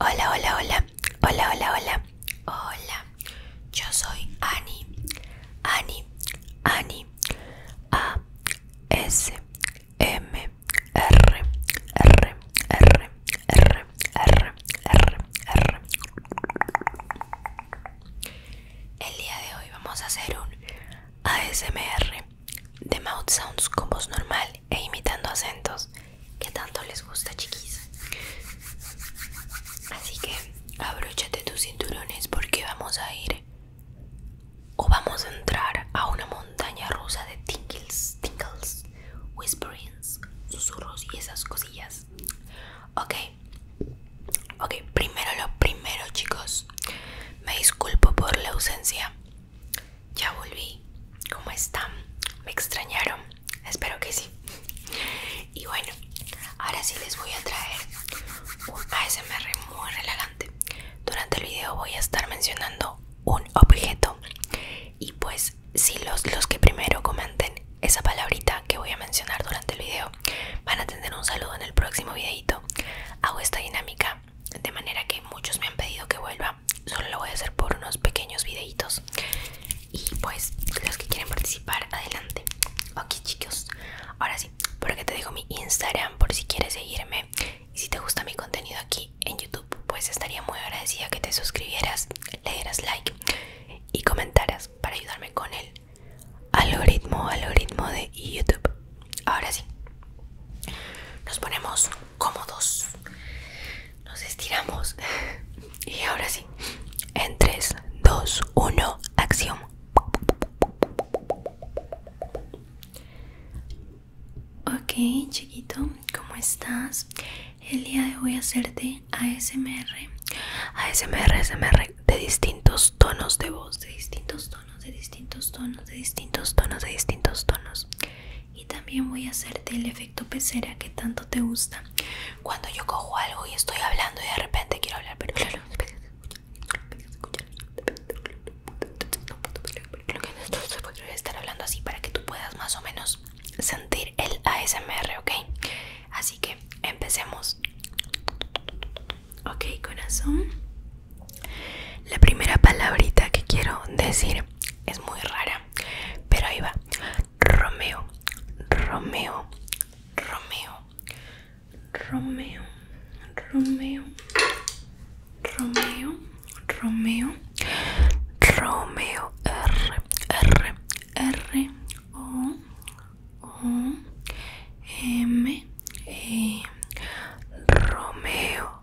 Hola, hola, hola, hola, hola, hola, hola. Yo soy Ani, Ani, Ani, A, S, M, R, R, R, R, R, R, R. El día de hoy vamos a hacer un ASMR de mouth sounds con voz normal e imitando acentos que tanto les gusta, chiquis. Así que abróchate tus cinturones porque vamos a ir o vamos a entrar a una montaña rusa de tinkles tinkles whisperings, susurros y esas cosillas. Ok, ok, primero lo primero, chicos. Me disculpo por la ausencia. Ya volví. ¿Cómo están? ¿Me extrañaron? Espero que sí. Y bueno, ahora sí les voy a traer un ASMR muy relajante. Durante el video voy a estar mencionando un objeto. Y pues, si los, los que primero comenten esa palabrita que voy a mencionar durante el video van a tener un saludo en el próximo videito, hago esta dinámica de manera que muchos me han pedido que vuelva solo lo voy a hacer por unos pequeños videitos y pues los que quieren participar adelante ok chicos ahora sí por aquí te dejo mi instagram por si quieres seguirme y si te gusta mi contenido aquí en youtube pues estaría muy agradecida que te suscribieras le dieras like y comentaras para ayudarme con el algoritmo algoritmo de youtube ahora sí nos ponemos cómodos. Nos estiramos. Y ahora sí. En 3, 2, 1, acción. Ok, chiquito, ¿cómo estás? El día de hoy a hacerte ASMR. ASMR, ASMR de distintos tonos de voz, de distintos tonos, de distintos tonos, de distintos tonos, de distintos tonos. Y también voy a hacerte el efecto pecera que tanto te gusta. Cuando yo cojo algo y estoy hablando y de repente quiero hablar, pero claro. Lo que estar hablando así para que tú puedas más o menos sentir el ASMR, okay Así que empecemos. Ok, corazón. La primera palabrita que quiero decir es muy rara, pero ahí va. Romeo, Romeo, Romeo, Romeo, Romeo, Romeo, Romeo, Romeo, R, R, R, O, O, M, E, Romeo,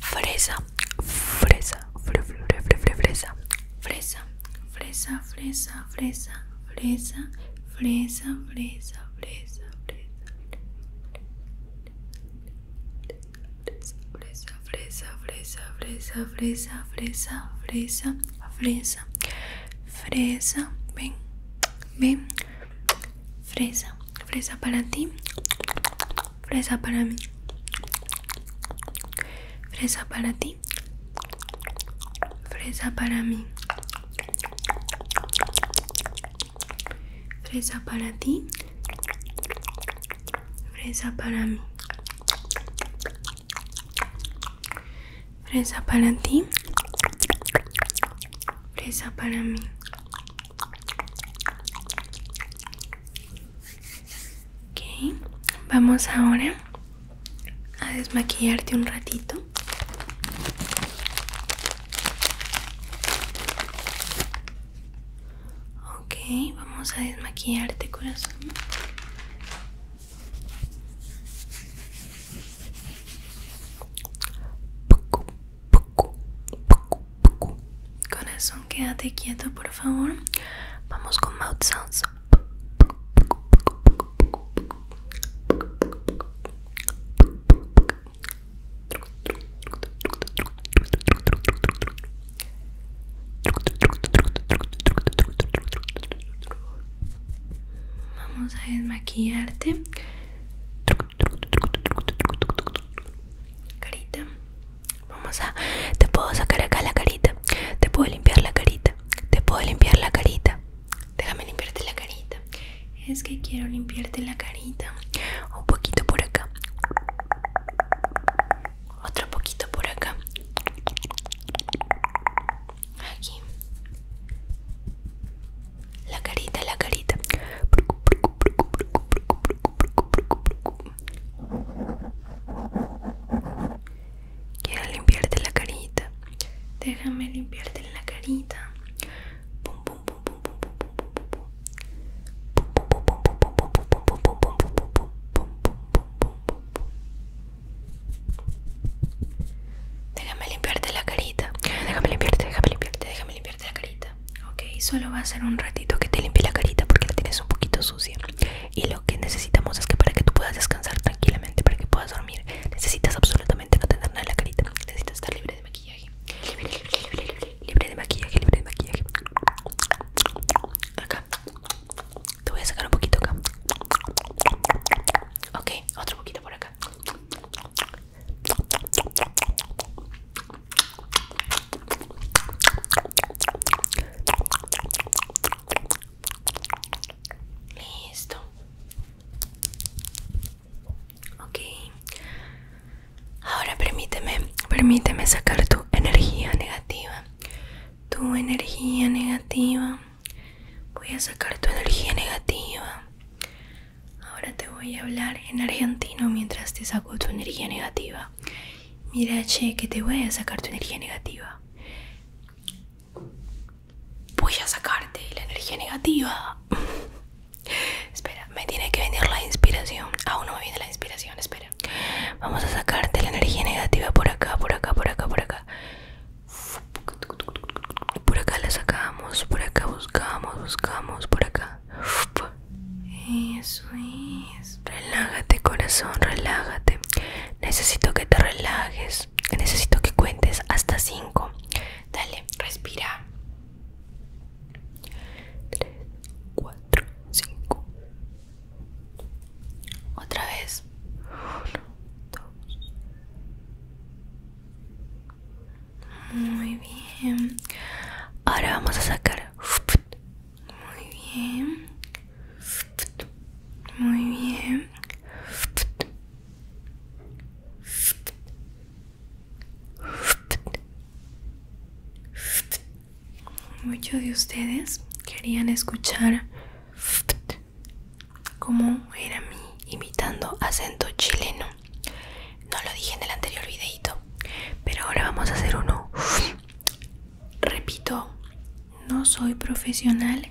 Fresa, fresa, fresa, fresa, fresa, fresa, fresa, fresa, fresa, fresa, fresa, fresa, fresa, fresa, fresa, fresa, fresa, fresa, fresa, fresa, ven, ven, fresa. Fresa para ti. Fresa para mí. Fresa para ti. Fresa para mí. Fresa para ti. Fresa para mí. Fresa para ti fresa para mí. vamos ahora a desmaquillarte un ratito. Okay, vamos a desmaquillarte corazón. Corazón, quédate quieto, por favor. Vamos con mouth sounds. Vamos a desmaquillarte. Carita. Vamos a. Te puedo sacar acá la carita. Te puedo limpiar la carita. Te puedo limpiar la carita. Déjame limpiarte la carita. Es que quiero limpiarte la carita. Un poquito por acá. Otro poquito por acá. Aquí. La carita, la carita. Quiero limpiarte la carita. Déjame limpiarte la carita. Déjame limpiarte la carita. Déjame limpiarte, déjame limpiarte, déjame limpiarte la carita. Ok, solo va a ser un ratito que te limpie la carita porque la tienes un poquito sucia. Y lo que necesitamos es que para que tú puedas descansar tranquilamente, para que puedas dormir, necesitas absolutamente no tener nada en la carita. Necesitas estar libre de maquillaje. Libre, libre, libre, libre, libre de maquillaje, libre de maquillaje. Acá. Te voy a sacar un poquito acá. Ok, otro poquito por acá. Listo. Ok. Ahora permíteme, permíteme sacar tu energía negativa. Tu energía negativa. Voy a sacar tu energía negativa. Ahora te voy a hablar en argentino mientras te saco tu energía negativa. Mira, che, que te voy a sacar tu energía negativa. Voy a sacarte la energía negativa. espera, me tiene que venir la inspiración. Aún no me viene la inspiración, espera. Vamos a sacarte la energía negativa por acá, por acá, por acá, por acá. Por acá la sacamos, por acá buscamos, buscamos, por acá. Eso es. Relájate, corazón, relájate. Necesito que te relajes. Necesito que cuentes hasta 5. Dale, respira. Tres, 4, cinco Otra vez. 1, 2, muy bien. Ahora vamos a sacar. Muy bien. Muy bien. Muchos de ustedes querían escuchar cómo era mi imitando acento chileno. No lo dije en el anterior videito, pero ahora vamos a hacer uno. Repito, no soy profesional,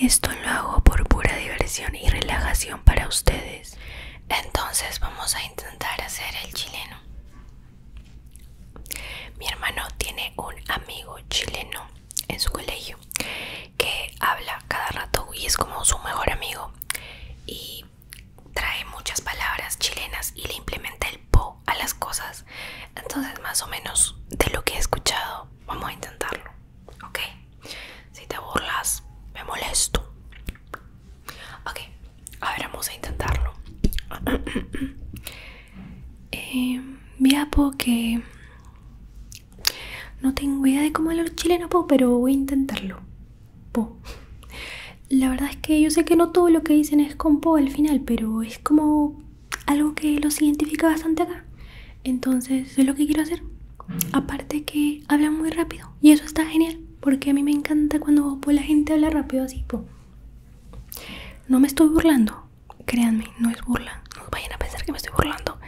esto lo hago por pura diversión y relajación para ustedes. Entonces vamos a intentar hacer el chileno. Mi hermano tiene un amigo chileno en su colegio que habla cada rato y es como su mejor amigo y trae muchas palabras chilenas y le implementa el po a las cosas. Entonces, más o menos de lo que he escuchado, vamos a intentarlo, ¿ok? Si te burlas, me molesto. Ok, a ver, vamos a intentarlo. eh, em, mi po que no tengo idea de cómo hablar chileno, chilenos, pero voy a intentarlo. La verdad es que yo sé que no todo lo que dicen es con po al final, pero es como algo que los identifica bastante acá. Entonces es lo que quiero hacer. Aparte que hablan muy rápido y eso está genial, porque a mí me encanta cuando pues, la gente habla rápido así. No me estoy burlando, créanme, no es burla. No vayan a pensar que me estoy burlando.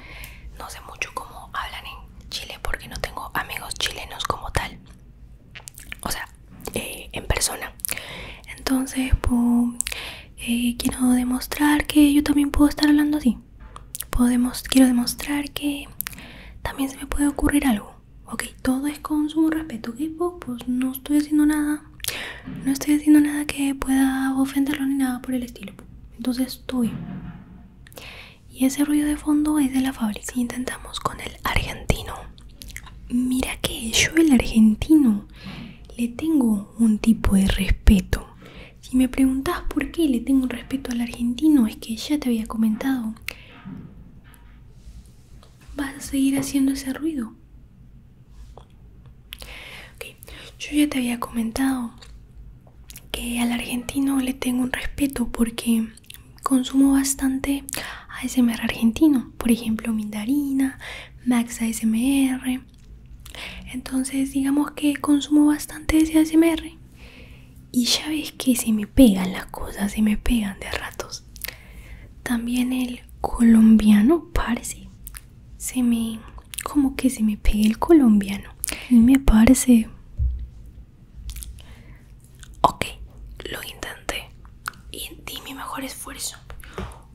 No sé mucho cómo hablan en Chile porque no tengo amigos chilenos como tal. O sea, eh, en persona. Entonces, pues, eh, quiero demostrar que yo también puedo estar hablando así. quiero demostrar que también se me puede ocurrir algo. Ok, todo es con su respeto. Que pues, pues no estoy haciendo nada. No estoy haciendo nada que pueda ofenderlo ni nada por el estilo. Entonces, estoy y ese ruido de fondo es de la fábrica intentamos con el argentino mira que yo el argentino le tengo un tipo de respeto si me preguntas por qué le tengo un respeto al argentino es que ya te había comentado vas a seguir haciendo ese ruido yo ya te había comentado que al argentino le tengo un respeto porque consumo bastante ASMR argentino, por ejemplo Mindarina, Max ASMR. Entonces, digamos que consumo bastante ese ASMR. Y ya ves que se me pegan las cosas, se me pegan de ratos. También el colombiano, parece. Se me. como que se me pegue el colombiano. me parece Ok, lo intenté y di mi mejor esfuerzo.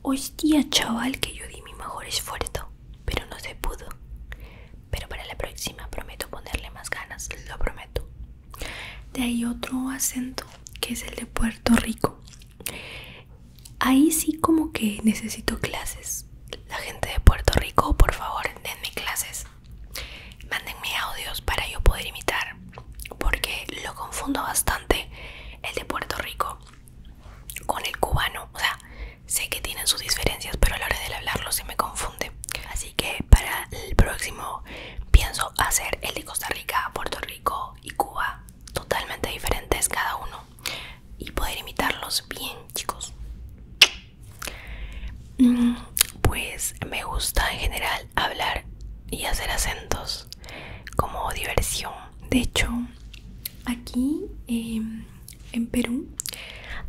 Hostia, chaval, que yo di mi mejor esfuerzo, pero no se pudo. Pero para la próxima prometo ponerle más ganas, lo prometo. De ahí otro acento que es el de Puerto Rico. Ahí sí como que necesito clases, la gente de Puerto Rico, por favor, denme clases. Mándenme audios para yo poder imitar, porque lo confundo bastante el de Puerto Rico con el cubano. O sea, sé que tienen sus diferencias, pero a la hora de hablarlo se me confunde. Así que para el próximo pienso hacer el de Costa Rica, Puerto Rico y Cuba, totalmente diferentes cada uno, y poder imitarlos bien, chicos. Mm, pues me gusta en general hablar y hacer acentos como diversión. De hecho, aquí em, en Perú,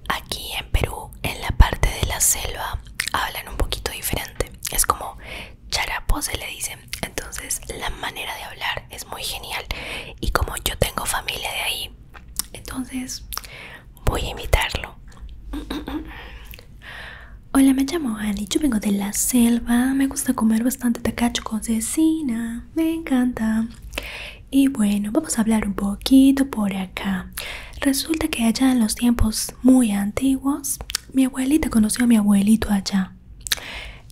aquí en Perú, en la parte de la selva, hablan un poquito diferente. Es como charapo se le dice. Entonces la manera de hablar es muy genial. Y como yo tengo familia de ahí, entonces Voy a invitarlo. Hola, me llamo Annie, yo vengo de la selva, me gusta comer bastante tacacho con cecina, me encanta. Y bueno, vamos a hablar un poquito por acá. Resulta que allá en los tiempos muy antiguos, mi abuelita conoció a mi abuelito allá.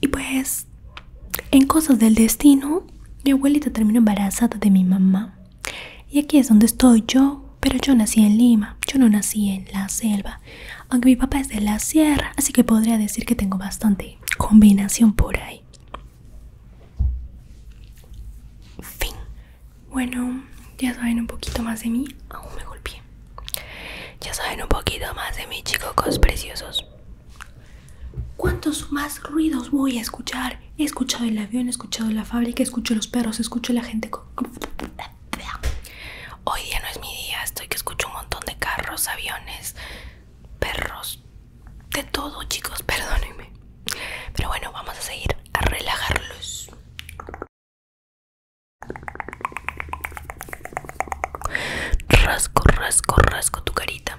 Y pues, en cosas del destino, mi abuelita terminó embarazada de mi mamá. Y aquí es donde estoy yo, pero yo nací en Lima, yo no nací en la selva, aunque mi papá es de la sierra, así que podría decir que tengo bastante combinación por ahí. Fin. Bueno, ya saben un poquito más de mí, aún me golpeé. Ya saben un poquito más de mí, chicos preciosos. ¿Cuántos más ruidos voy a escuchar? He escuchado el avión, he escuchado la fábrica, he escucho los perros, escucho la gente. Hoy día no es mi día, estoy que escucho un montón de carros, aviones, perros, de todo, chicos, perdónenme. Pero bueno, vamos a seguir a relajarlos. Rasco, rasco, rasco tu carita.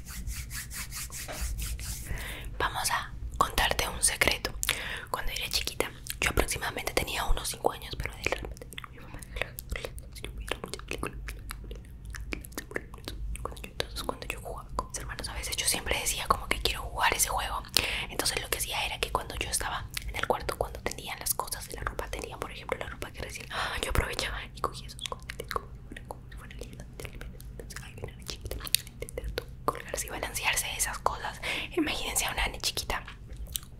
Vamos a contarte un secreto. Cuando era chiquita, yo aproximadamente tenía unos 5 años, pero de repente mi mamá cuando yo, entonces cuando yo jugaba con mis hermanos a veces yo siempre decía como que quiero jugar ese juego entonces lo que hacía era que cuando yo estaba en el cuarto cuando tenían las cosas de la ropa tenía por ejemplo la ropa que recién ah, yo aprovechaba y cogía esos colgarse y balancearse esas cosas imagínense a una nene chiquita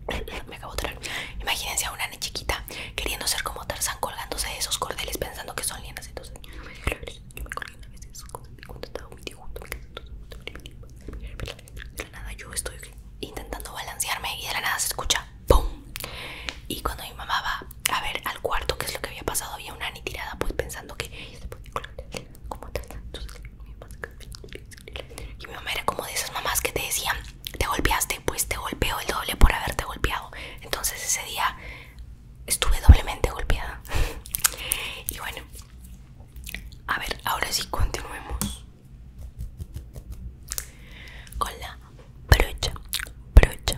me acabo de traer imagínense a una nene chiquita queriendo ser como Tarzán colgándose de esos cordeles pensando que son lianas entonces yo me yo estoy intentando balancearme y de la nada se escucha ¡pum! y cuando mi mamá va a ver al cuarto qué es lo que había pasado. Había una ni tirada, pues pensando que y mi mamá era como de esas mamás que te decían, te golpeaste, pues te golpeó el doble por haberte golpeado. Entonces ese día estuve doblemente golpeada. y bueno, a ver, ahora sí continuemos con la brocha, brocha,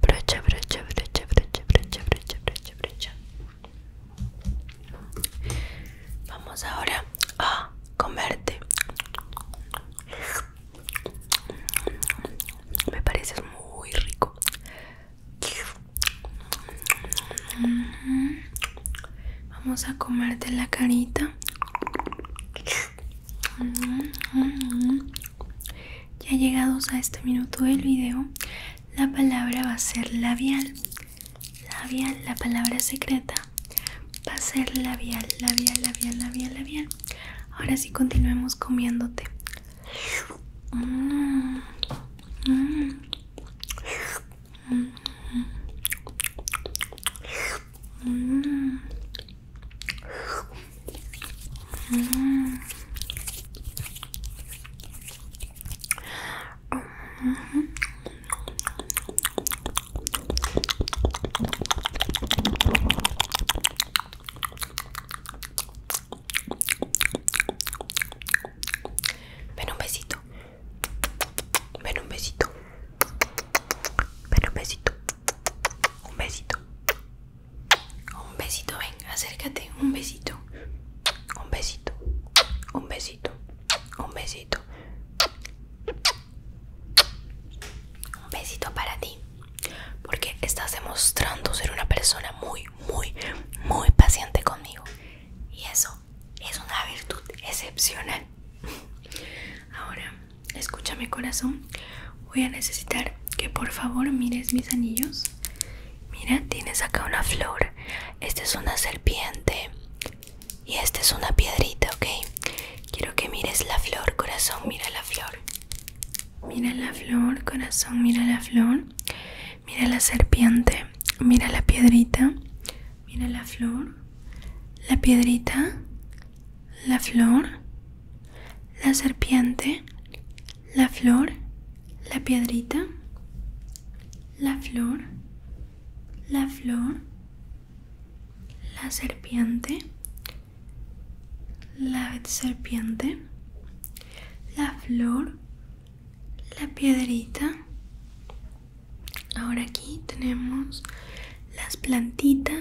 brocha brocha brocha brocha brocha brocha brocha brocha vamos ahora a comerte me parece muy rico Vamos a comerte la carita ya llegados a este minuto del video, la palabra va a ser labial. Labial, la palabra secreta va a ser labial, labial, labial, labial, labial. Ahora sí continuemos comiéndote. Ven un besito. Ven un besito. Ven un besito. Un besito. Un besito, ven, acércate. Un besito. Un besito. Un besito. Un besito. Un besito para ti. Porque estás demostrando ser una persona muy, muy, muy paciente conmigo. Y eso es una virtud excepcional. Ahora, escúchame corazón, voy a necesitar que por favor mires mis anillos. Mira, tienes acá una flor, esta es una serpiente y esta es una piedrita, ¿ok? Quiero que mires la flor, corazón, mira la flor. Mira la flor, corazón, mira la flor. Mira la serpiente, mira la piedrita, mira la flor, la piedrita, la flor, la serpiente, la flor, la piedrita, la flor, la flor, la serpiente, la serpiente, la flor, la piedrita. Ahora aquí tenemos las plantitas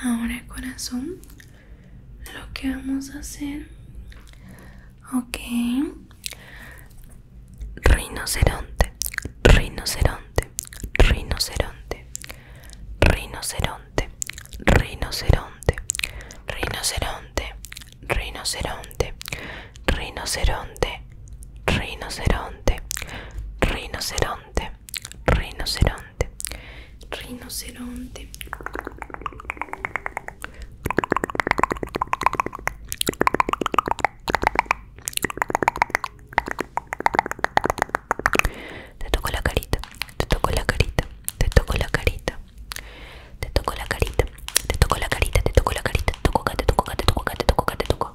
Ahora corazón, lo que vamos a hacer, ok, rinoceronte, rinoceronte, rinoceronte, rinoceronte, rinoceronte, rinoceronte, rinoceronte, rinoceronte, rinoceronte, rinoceronte, rinoceronte, rinoceronte. Te toco la carita, te toco la carita, te toco la carita, te toco la carita, te toco la carita, te toco la carita, te toco te toco te toco te toco te toco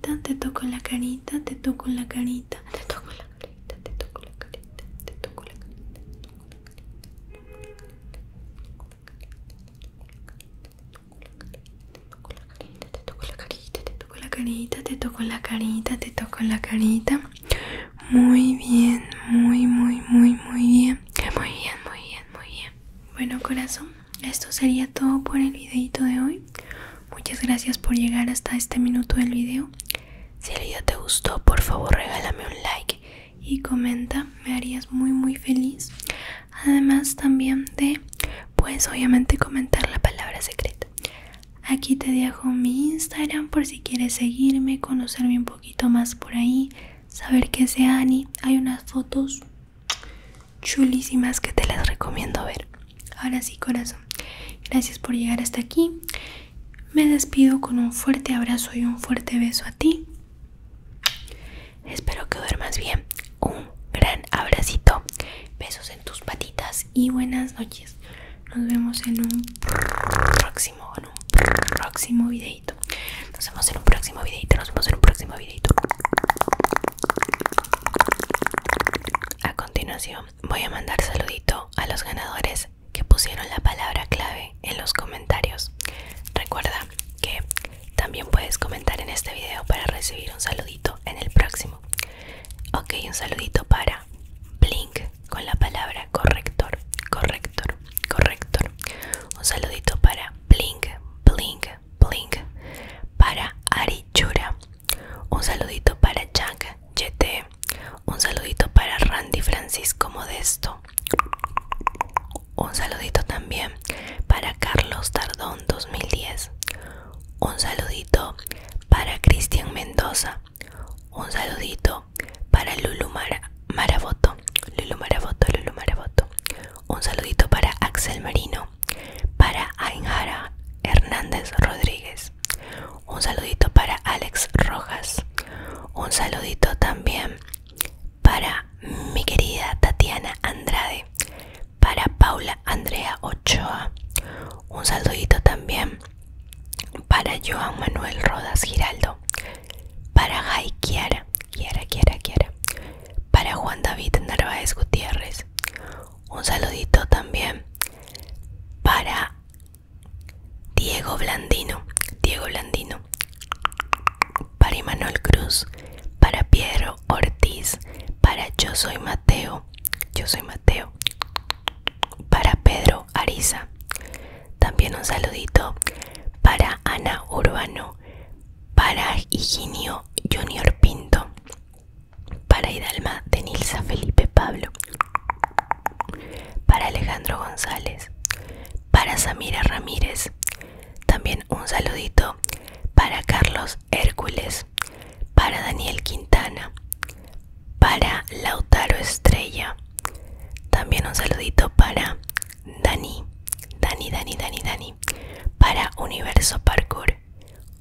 carita, te toco la carita, te toco la carita, te toco la carita, te toco la carita, te toco la carita, te toco la carita, te toco la carita, te toco la carita, te toco la carita, te toco la carita. Muy bien, muy, muy, muy, muy bien. Muy bien, muy bien, muy bien. Bueno, corazón, esto sería todo por el videito de hoy. Muchas gracias por llegar hasta este minuto del video. Si el video te gustó, por favor regálame un like y comenta, me harías muy muy feliz. Además también de, pues obviamente comentar la palabra secreta. Aquí te dejo mi Instagram por si quieres seguirme, conocerme un poquito más por ahí, saber que es Ani. Hay unas fotos chulísimas que te las recomiendo ver. Ahora sí, corazón, gracias por llegar hasta aquí. Me despido con un fuerte abrazo y un fuerte beso a ti. Espero que duermas bien. Un gran abracito. Besos en tus patitas y buenas noches. Nos vemos en un próximo, en próximo videito. Nos vemos en un próximo videito. Nos vemos en un próximo videito. A continuación voy a mandar saludito a los ganadores que pusieron la palabra clave en los comentarios. Recuerda que también puedes comentar en este video para recibir un saludito en el próximo. Ok, un saludito para Blink con la palabra corrector, corrector, corrector. Un saludito para Blink, Blink, para Ari Chura, un saludito para Jack JT un saludito para Randy Francisco Modesto, un saludito también para Carlos Tardón 2010, un saludito para Cristian Mendoza, un saludito para Lulu Maravoto. Lulu Maravoto, Lulu Maraboto, un saludito para Axel Marino, para Ainjara Hernández Rodríguez. Un saludito para Alex Rojas. Un saludito también para mi querida Tatiana Andrade. Para Paula Andrea Ochoa. Un saludito también para Joan Manuel Rodas Giraldo. Para Jai Kiara. Kiara. Para Juan David Narváez Gutiérrez. Un saludito también para Diego Blandino, Diego Blandino, para Imanol Cruz, para Piero Ortiz, para Yo Soy Mateo, Yo Soy Mateo, para Pedro Ariza. También un saludito para Ana Urbano, para Higinio Junior Pinto, para Hidalma de Nilsa Felipe Pablo. Para Alejandro González. Para Samira Ramírez. También un saludito para Carlos Hércules. Para Daniel Quintana. Para Lautaro Estrella. También un saludito para Dani. Dani, Dani, Dani, Dani. Para Universo Parkour.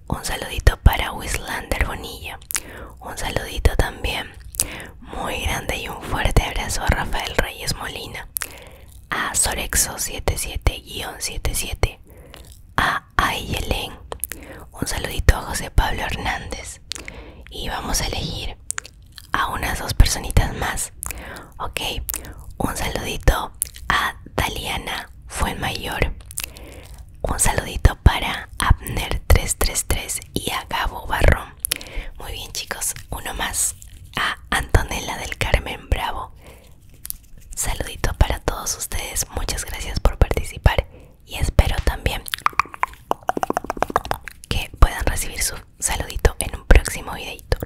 Un saludito para Wislander Bonilla. Un saludito también muy grande y un fuerte abrazo a Rafael Reyes Molina. A Sorexo77-77. A Ayelen. Un saludito a José Pablo Hernández. Y vamos a elegir a unas dos personitas más. Ok. Un saludito a Daliana fue mayor. Un saludito para Abner333 y a Gabo Barrón. Muy bien chicos, uno más a Antonella del Carmen Bravo. Saludito para todos ustedes, muchas gracias por participar y espero también que puedan recibir su saludito en un próximo videito.